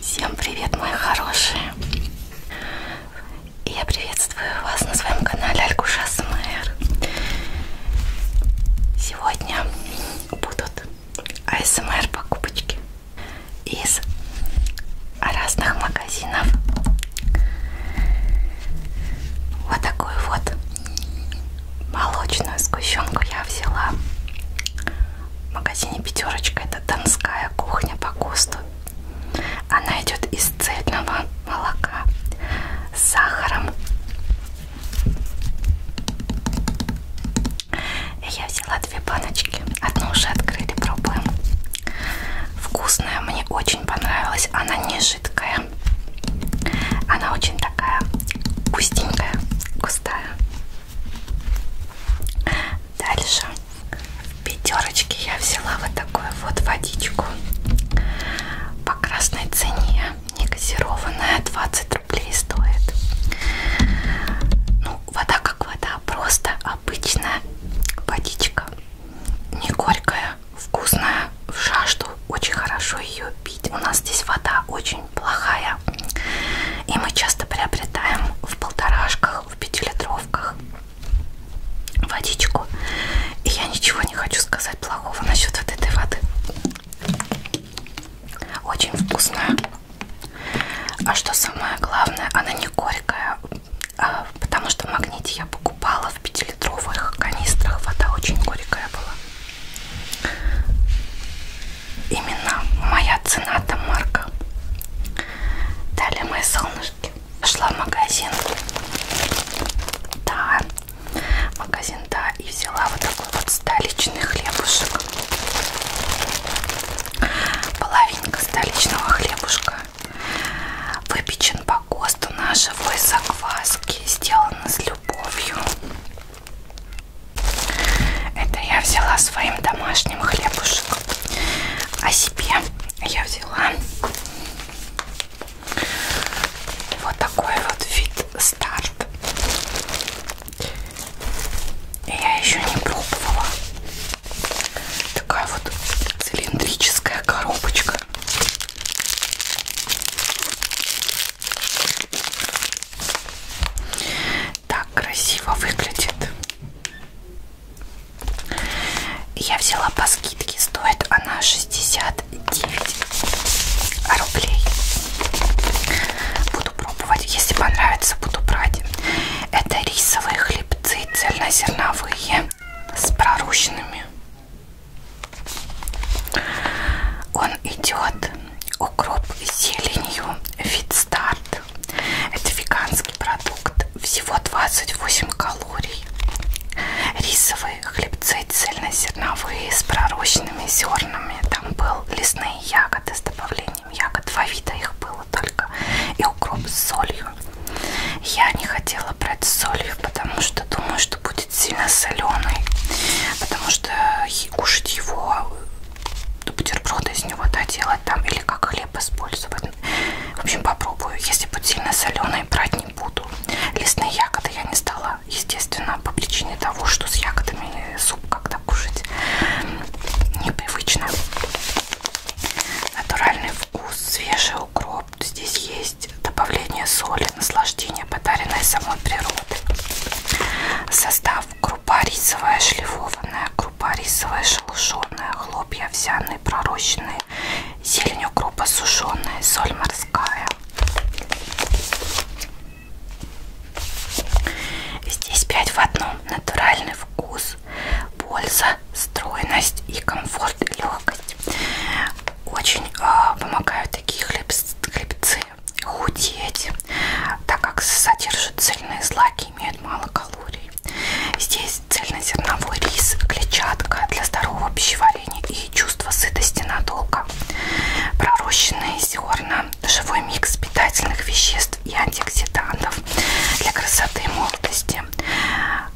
Всем привет, мои хорошие! Я приветствую вас на своем канале Алькуша СМР. Сегодня будут АСМР покупочки из разных магазинов. Вот такую вот молочную сгущенку я взяла в магазине Пятерочка. Это донская кухня по ГОСТу. Она идет из цельного молока с сахаром. И я взяла две баночки. Одну уже открыли, пробуем. Вкусная, мне очень понравилась. Она не жидкая. Она очень такая густенькая, густая. Дальше в пятерочке я взяла вот такую вот водичку по красной цене, не газированная, 20 рублей стоит. Ну, вода как вода, просто обычная водичка, не горькая, вкусная, в жажду, очень хорошо ее пить. У нас здесь вода очень плохая. И мы часто приобретаем в полторашках, в пятилитровках водичку. И я ничего не хочу сказать плохого насчет вот этой воды. Очень вкусная. А что самое главное, она не горькая, а, потому что в магните я покупала в пятилитровых канистрах. Вода очень горькая была именно моя цена там марка. Далее мои солнышки. Пошла в магазин. Да, магазин, да, и взяла вот такой вот столичный хлебушек. Половинка столичного хлебушка. Выпечен по ГОСТу на живой закваске. Сделан с любовью. Это я взяла своим домашним хлебушек. А себе я взяла вот такой вот вид старт. Я еще не пробовала. Такая вот цилиндрическая коробочка так красиво выглядит. Я взяла по скидке, стоит она 69 рублей. Буду пробовать, если понравится, буду брать. Это рисовые хлебцы цельнозерновые с прорущенными. Он идет укроп с зеленью Fit Start. Это веганский продукт, всего 28 калорий. Рисовые хлебцы цельнозерновые с пророщенными зернами. Там был лесные ягоды с добавлением ягод. Два вида их было только. И укроп с солью. Я не хотела брать с солью, потому что думаю, что будет сильно соленый. Потому что кушать его бутерброды из него доделать да, там или как хлеб использовать. В общем, попробую. Если будет сильно соленый, брать не буду. Лесные ягоды я не стала, естественно, по причине того, что с ягодами суп как-то кушать непривычно. Натуральный вкус, свежий укроп. Здесь есть добавление соли, наслаждение, подаренное самой природой. Состав крупа рисовая шлифованная, крупа рисовая шелушеная, хлопья овсяные пророщенные, зелень укропа сушеная, соль морская. Здесь 5 в одном. Натуральный вкус, польза, стройность и комфорт, и легкость. Очень э, помогают такие хлебцы худеть, так как содержат цельные злаки добавки имеют мало калорий. Здесь цельнозерновой рис, клетчатка для здорового пищеварения и чувства сытости надолго. Пророщенные зерна, живой микс питательных веществ и антиоксидантов для красоты и молодости.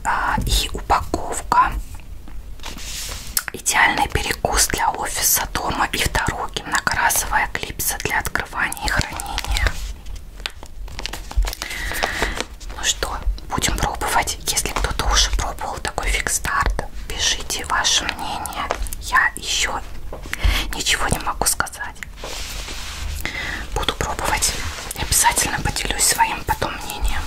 А, и упаковка. Идеальный перекус для офиса, дома и в дороге. Многоразовая клипса для открытия закрывания и хранения. Ну что, будем пробовать. Если кто-то уже пробовал такой фикс-старт, пишите ваше мнение. Я еще ничего не могу сказать. Буду пробовать. И обязательно поделюсь своим потом мнением.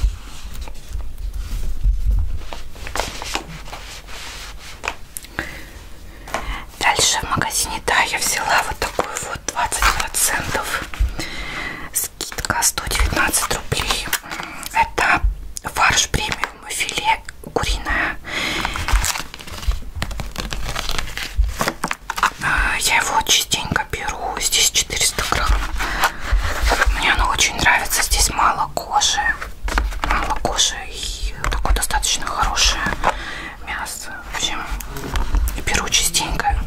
Дальше в магазине, да, я взяла вот такую вот 20% скидка 119 рублей. Это фарш премиум филе куриное. А, я его частенько беру, здесь 400 грамм. Мне оно очень нравится, здесь мало кожи. Мало кожи и такое достаточно хорошее мясо. В общем, беру частенько.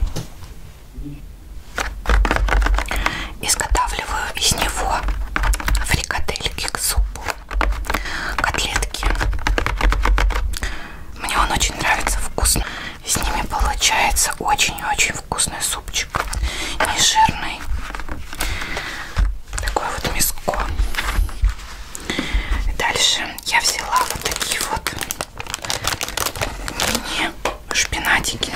Изготавливаю из него фрикадельки к супу, котлетки. Мне он очень нравится, вкусно. С ними получается очень-очень вкусный супчик. Не жирный. Такое вот мяско. Дальше я взяла вот такие вот мини-шпинатики.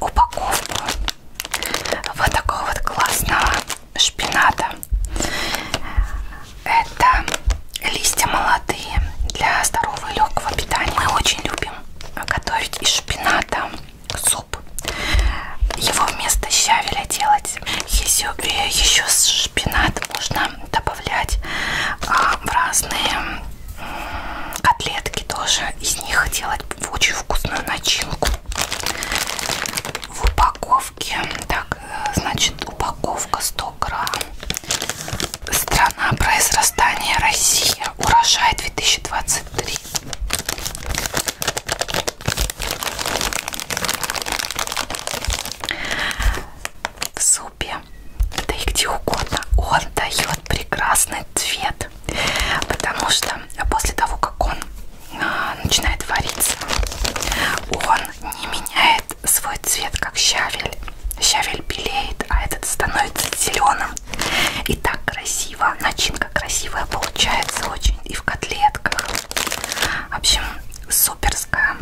Упаковку вот такого вот классного шпината. Это листья молодые для здорового и легкого питания. Мы очень любим готовить из шпината суп. Его вместо щавеля делать. Э, еще, еще шпинат можно добавлять а, в разные котлетки тоже. Из них делать очень вкусную начинку. В упаковке, так, э, значит, упаковка 100 грамм. Страна произрастания Россия. Урожай 2020 23. В супе, да и где угодно, он дает прекрасный цвет, потому что после того, как он а, начинает вариться, он не меняет свой цвет, как щавель. Щавель белеет, а этот становится зеленым. И так красиво, начинка красивая получается очень и в котлетках. В общем, суперская.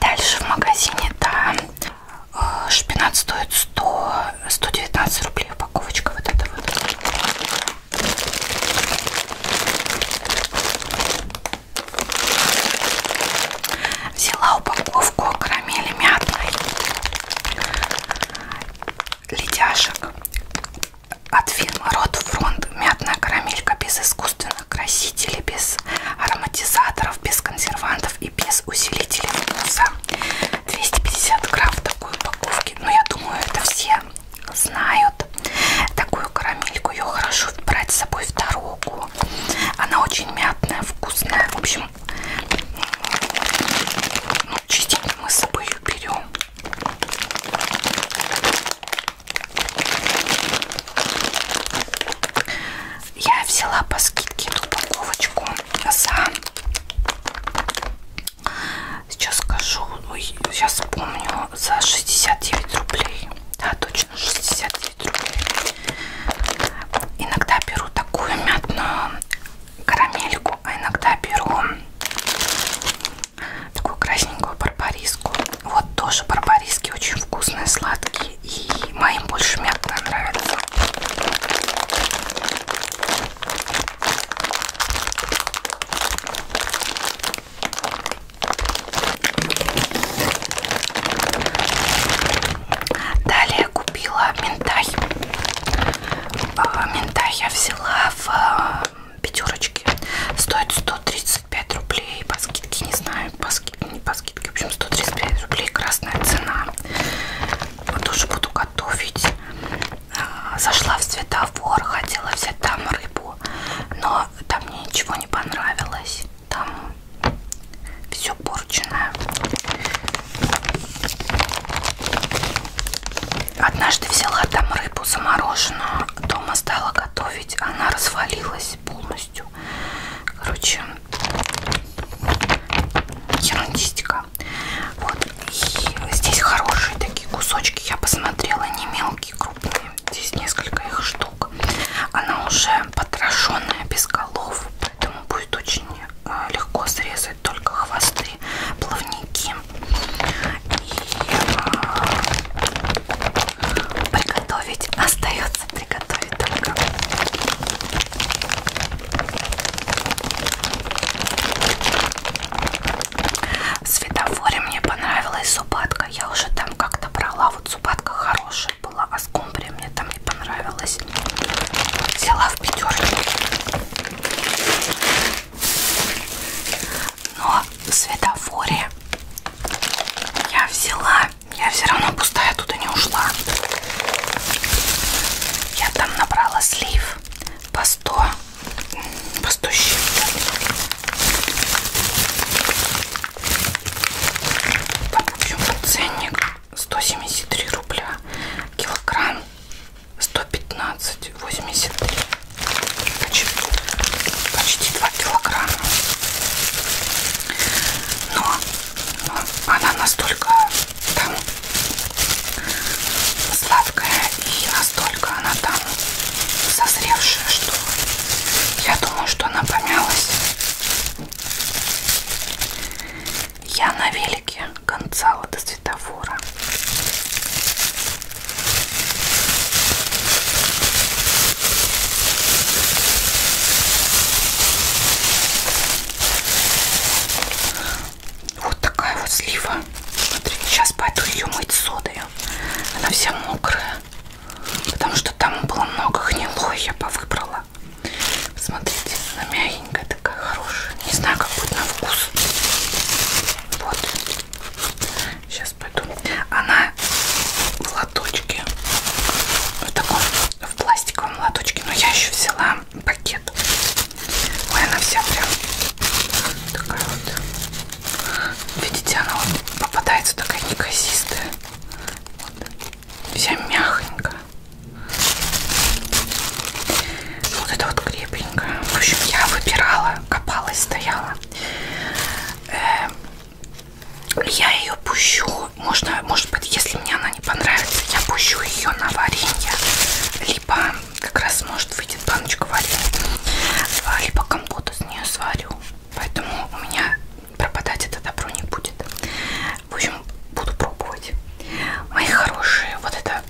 Дальше в магазине да, э, шпинат стоит 100, 119 рублей упаковочка вот эта вот. Взяла упаковку карамели мятной ледяшек от фирмы Ротфронт. Мятная карамелька без искусственных красителей, без ароматизаторов, без консервантов и без усилителей вкуса. 250 грамм в такой упаковке. Но я думаю, это все знают. Такую карамельку ее хорошо брать с собой в дорогу. Она очень мятная, вкусная. В общем, ну, частично мы с собой ее берем. Я взяла по скидке эту упаковочку за Сейчас скажу, ой, сейчас вспомню, за 69 рублей. Да, точно 69 рублей. Иногда беру такую мятную карамельку, а иногда беру такую красненькую барбариску. Вот тоже барбариски очень вкусные, сладкие. И моим больше мятная нравится. Далее купила минтай. А, минтай я взяла в а, пятерочке. Стоит 135 рублей. По скидке не знаю, по скидке, не по скидке. В общем, 135 рублей красная цена. Вот тоже буду готовить. Э, зашла в светофор, хотела взять там рыбу, но там мне ничего не понравилось. Там все порченное. Однажды взяла там рыбу замороженную, дома стала готовить, она развалилась полностью. Короче, ерундистика. Вот. И здесь хорошие такие кусочки. Я посмотрела, не мелкие, крупные. Здесь несколько их штук. Она уже потрошенная, без голов. Поэтому будет очень э, легко срезать только хвосты, плавники. И а, приготовить. Остается приготовить только. В светофоре мне понравилась зубатка. Я уже там как-то брала. Вот зубатка хорошая была, а скумбрия мне там не понравилась. Взяла в пятерку. Но в светофоре я взяла. Я все равно пустая туда не ушла. Я там набрала слив по 100 растущие. Там, в общем, ценник 173 рубля, килограмм 115,83, почти, почти 2 килограмма. Но, но она настолько там сладкая и настолько она там созревшая, что я думаю, что она помялась. Я на велике концала до светофора. Вот такая вот слива. Смотри, сейчас пойду ее мыть содой. Она вся мокрая. Потому что там было много гнилой, я повыбрала. Смотрите, она мягенькая такая, хорошая. Не знаю, как будет на вкус. Вот. Сейчас пойду. Она в лоточке. В таком, в пластиковом лоточке. Но я еще взяла пакет. Ой, она вся прям такая вот. Видите, она вот попадается такая неказистая. Вот. Вся мягонькая. Вот это вот крепенькая. В общем, я выбирала, копалась, стояла. Э -э я ее пущу. Можно, может быть, если мне она не понравится, я пущу ее на варенье. Либо как раз может выйти баночка варю, либо компоту с нее сварю. Поэтому у меня пропадать это добро не будет. В общем, буду пробовать. Мои хорошие, вот это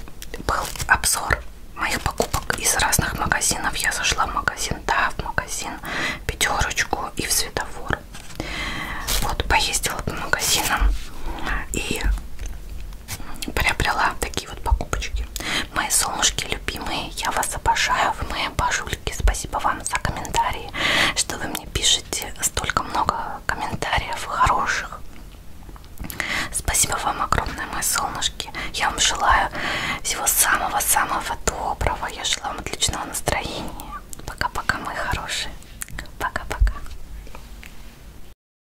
был обзор моих покупок из разных магазинов. Я зашла в магазин, да, в магазин пятерочку и в светофор. Вот поездила по магазинам и приобрела такие такие вот покупочки. Мои солнышки любимые, я вас обожаю, вы мои божульки. Спасибо вам за комментарии, что вы мне пишете столько много комментариев хороших. Спасибо вам огромное, мои солнышки. Я вам желаю всего самого-самого доброго. Я желаю вам отличного настроения. Пока-пока, мои хорошие. Пока-пока.